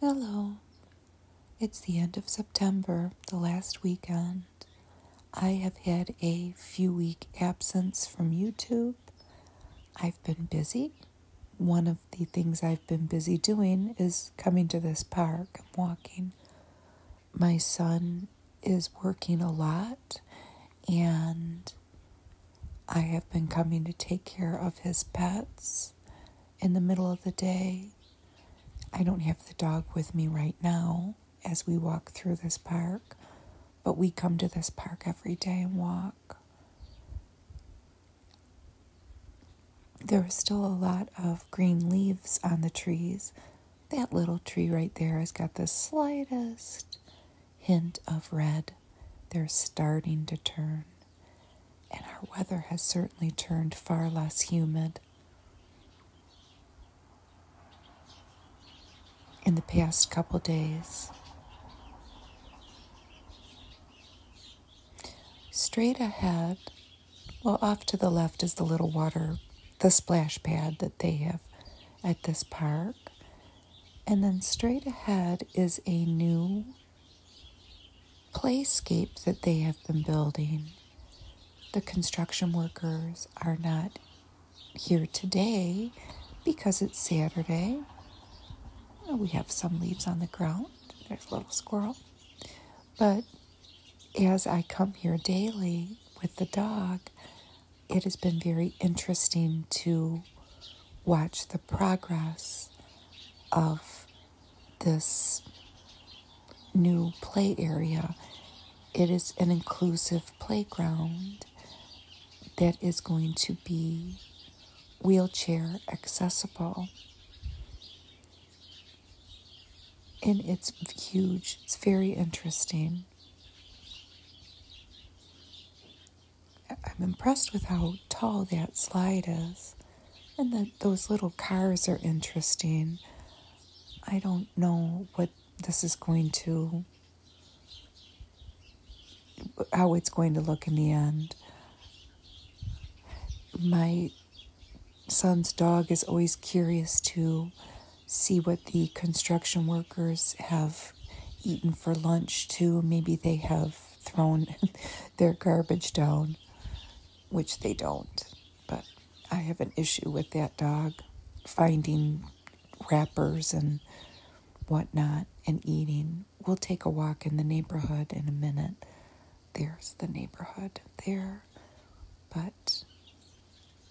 Hello. It's the end of September, the last weekend. I have had a few week absence from YouTube. I've been busy. One of the things I've been busy doing is coming to this park and walking. My son is working a lot and I have been coming to take care of his pets in the middle of the day. I don't have the dog with me right now as we walk through this park, but we come to this park every day and walk. There are still a lot of green leaves on the trees. That little tree right there has got the slightest hint of red they're starting to turn. And our weather has certainly turned far less humid. in the past couple days. Straight ahead, well, off to the left is the little water, the splash pad that they have at this park. And then straight ahead is a new playscape that they have been building. The construction workers are not here today because it's Saturday. We have some leaves on the ground. There's a little squirrel. But as I come here daily with the dog, it has been very interesting to watch the progress of this new play area. It is an inclusive playground that is going to be wheelchair accessible. And it's huge, it's very interesting. I'm impressed with how tall that slide is, and that those little cars are interesting. I don't know what this is going to, how it's going to look in the end. My son's dog is always curious to see what the construction workers have eaten for lunch too. Maybe they have thrown their garbage down, which they don't. But I have an issue with that dog finding wrappers and whatnot and eating. We'll take a walk in the neighborhood in a minute. There's the neighborhood there. But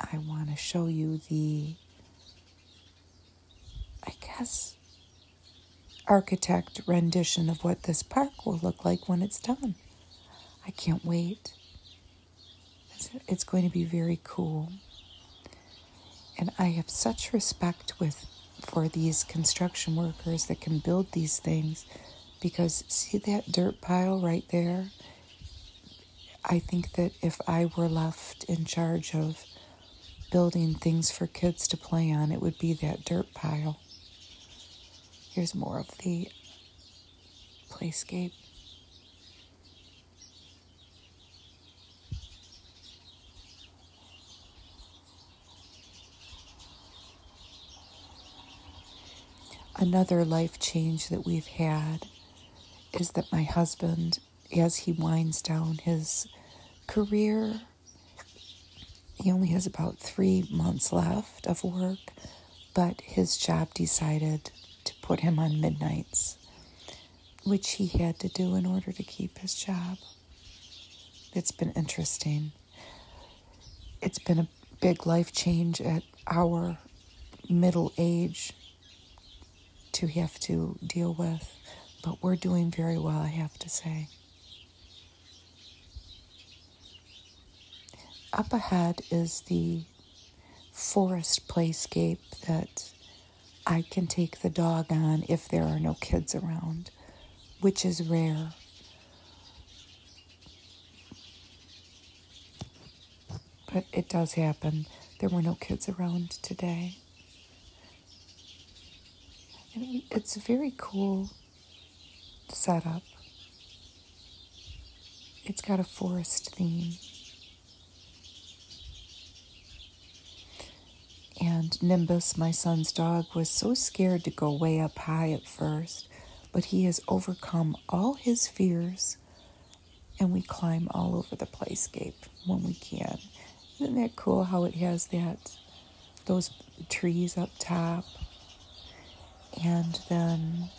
I want to show you the, I guess, architect rendition of what this park will look like when it's done. I can't wait. It's going to be very cool. And I have such respect with for these construction workers that can build these things because see that dirt pile right there? I think that if I were left in charge of building things for kids to play on, it would be that dirt pile. Here's more of the playscape. Another life change that we've had is that my husband as he winds down his career. He only has about three months left of work, but his job decided to put him on midnights, which he had to do in order to keep his job. It's been interesting. It's been a big life change at our middle age to have to deal with, but we're doing very well, I have to say. Up ahead is the forest playscape that I can take the dog on if there are no kids around, which is rare. But it does happen. There were no kids around today it's a very cool setup. It's got a forest theme. And Nimbus, my son's dog, was so scared to go way up high at first, but he has overcome all his fears and we climb all over the playscape when we can. Isn't that cool how it has that those trees up top and then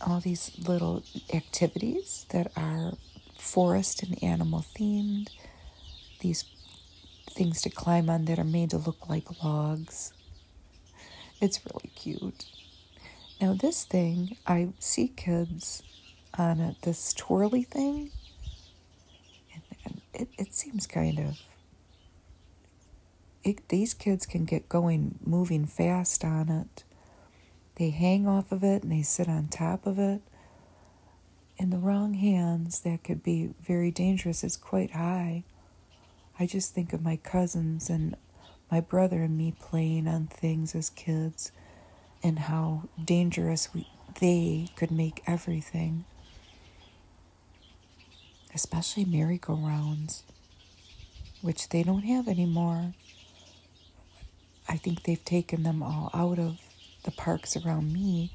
all these little activities that are forest and animal themed, these things to climb on that are made to look like logs. It's really cute. Now, this thing, I see kids on this twirly thing, it, it seems kind of. It, these kids can get going, moving fast on it. They hang off of it and they sit on top of it. In the wrong hands, that could be very dangerous. It's quite high. I just think of my cousins and my brother and me playing on things as kids and how dangerous they could make everything, especially merry-go-rounds, which they don't have anymore. I think they've taken them all out of the parks around me,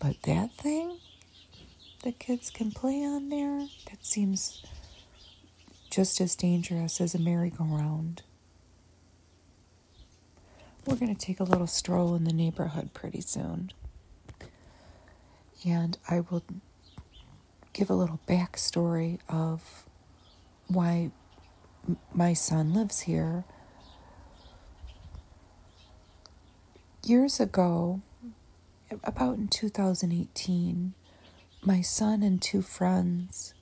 but that thing the kids can play on there, that seems just as dangerous as a merry-go-round. We're going to take a little stroll in the neighborhood pretty soon. And I will give a little backstory of why my son lives here. Years ago, about in 2018, my son and two friends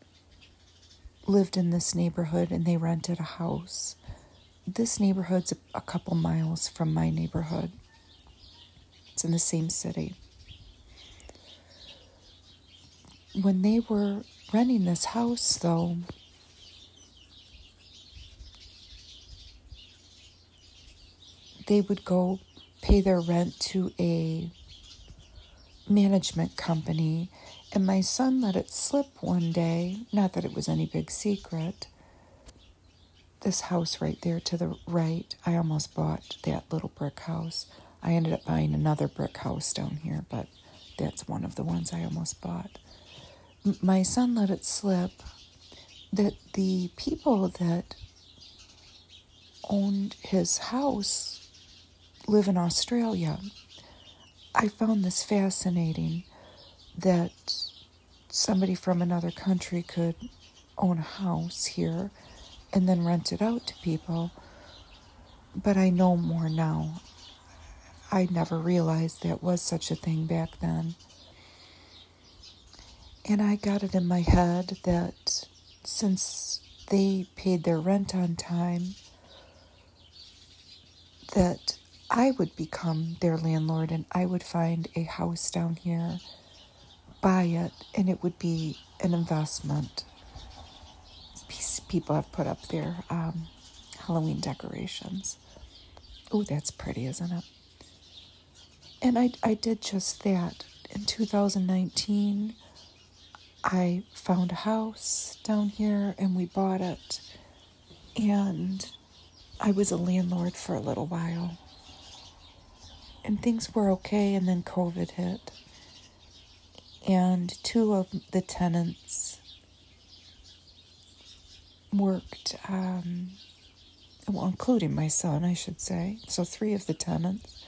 lived in this neighborhood and they rented a house. This neighborhood's a couple miles from my neighborhood, it's in the same city. When they were renting this house, though, they would go pay their rent to a management company. And my son let it slip one day, not that it was any big secret. This house right there to the right, I almost bought that little brick house. I ended up buying another brick house down here, but that's one of the ones I almost bought. my son let it slip that the people that owned his house live in Australia. I found this fascinating that somebody from another country could own a house here and then rent it out to people. But I know more now. I never realized that was such a thing back then. And I got it in my head that since they paid their rent on time, that I would become their landlord and I would find a house down here, buy it, and it would be an investment. People have put up their um, Halloween decorations. Oh, that's pretty, isn't it? And I, I did just that. In 2019, I found a house down here and we bought it. And I was a landlord for a little while. And things were okay, and then COVID hit. And two of the tenants worked, um, well, including my son, I should say. So, three of the tenants,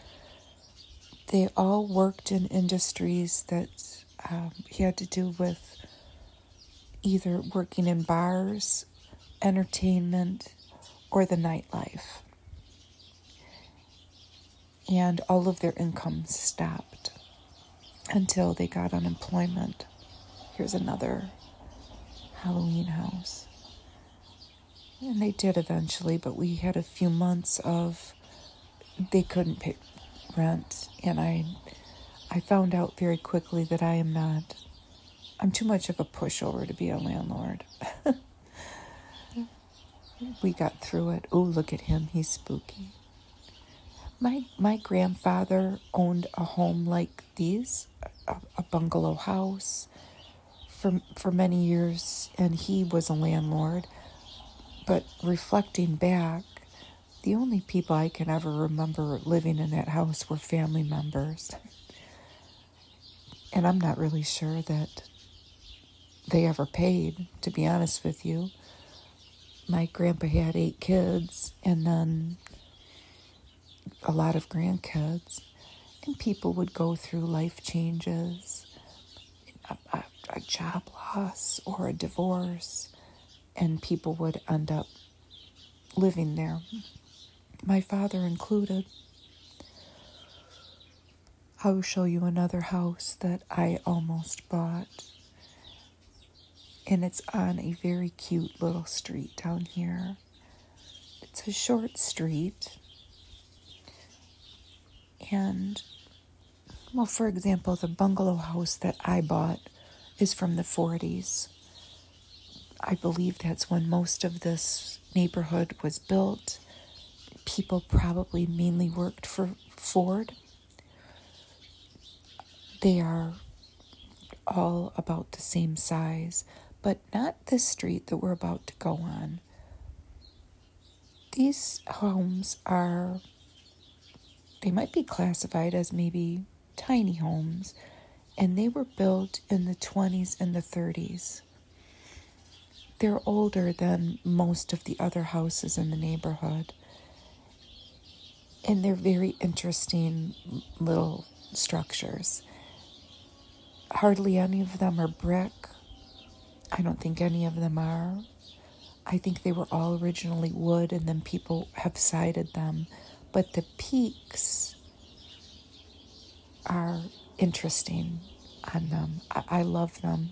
they all worked in industries that um, he had to do with either working in bars, entertainment, or the nightlife. And all of their income stopped until they got unemployment. Here's another Halloween house. And they did eventually, but we had a few months of they couldn't pay rent and I I found out very quickly that I am not I'm too much of a pushover to be a landlord. we got through it. Oh, look at him. He's spooky. My my grandfather owned a home like these, a, a bungalow house for, for many years, and he was a landlord. But reflecting back, the only people I can ever remember living in that house were family members. And I'm not really sure that they ever paid, to be honest with you. My grandpa had eight kids, and then a lot of grandkids, and people would go through life changes, a, job loss, or a divorce, and people would end up living there, my father included. I will show you another house that I almost bought and it's on a very cute little street down here. It's a short street. And, well, for example, the bungalow house that I bought is from the 40s. I believe that's when most of this neighborhood was built. People probably mainly worked for Ford. They are all about the same size, but not this street that we're about to go on. These homes are, they might be classified as maybe tiny homes, and they were built in the 20s and the 30s. They're older than most of the other houses in the neighborhood and they're very interesting little structures. Hardly any of them are brick. I don't think any of them are. I think they were all originally wood and then people have sided them. But the peaks are interesting on them. I, I love them.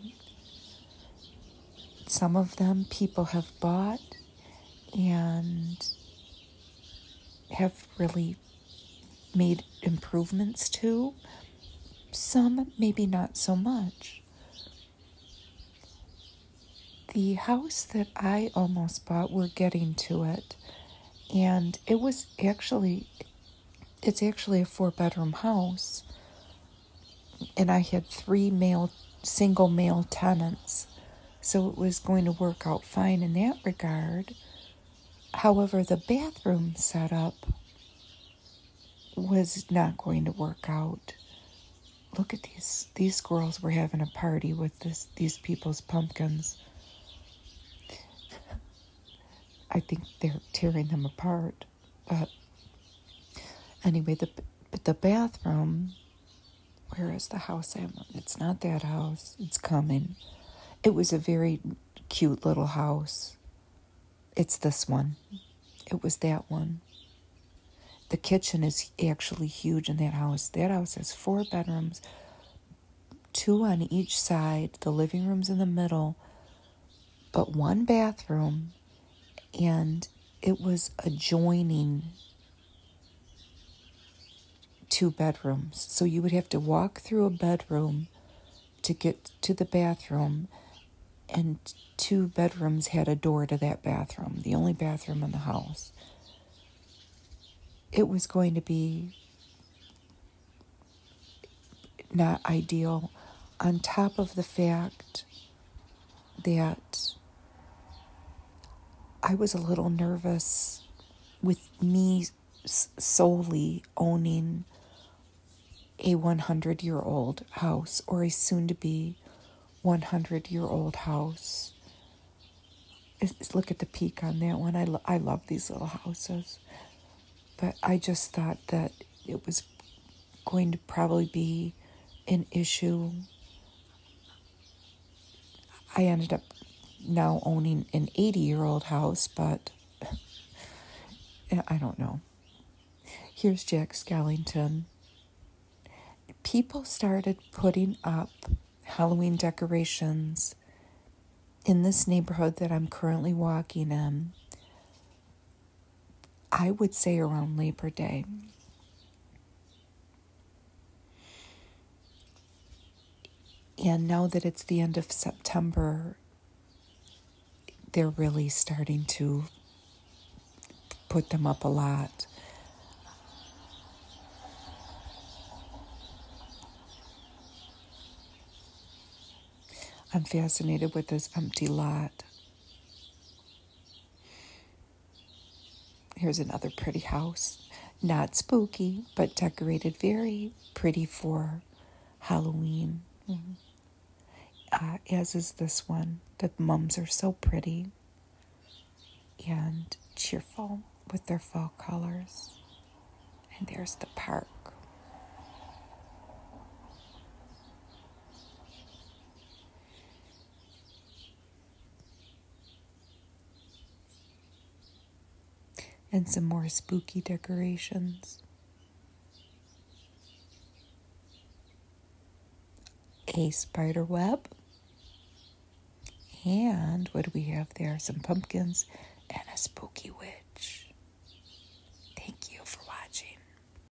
Some of them people have bought and have really made improvements to. Some, maybe not so much. The house that I almost bought, we're getting to it. And it was actually, it's actually a four bedroom house. And I had three male, single male tenants so it was going to work out fine in that regard. However, the bathroom setup was not going to work out. Look at these these girls were having a party with this these people's pumpkins. I think they're tearing them apart. But anyway, the the bathroom where is the house I'm It's not that house. It's coming. It was a very cute little house. It's this one. It was that one. The kitchen is actually huge in that house. That house has four bedrooms, two on each side, the living room's in the middle, but one bathroom, and it was adjoining two bedrooms. So you would have to walk through a bedroom to get to the bathroom, and two bedrooms had a door to that bathroom, the only bathroom in the house. It was going to be not ideal, on top of the fact that I was a little nervous with me solely owning a 100 year old house or a soon to be 100 year old house. It's, look at the peak on that one. I, I love these little houses. But I just thought that it was going to probably be an issue. I ended up now owning an 80 year old house, but I don't know. Here's Jack Skellington. People started putting up Halloween decorations in this neighborhood that I'm currently walking in I would say around Labor Day. And now that it's the end of September, they're really starting to put them up a lot. I'm fascinated with this empty lot. Here's another pretty house. Not spooky, but decorated very pretty for Halloween. Mm-hmm. Uh, as is this one. The mums are so pretty and cheerful with their fall colors. And there's the park and some more spooky decorations. A spider web. And what do we have there? Some pumpkins and a spooky witch. Thank you for watching.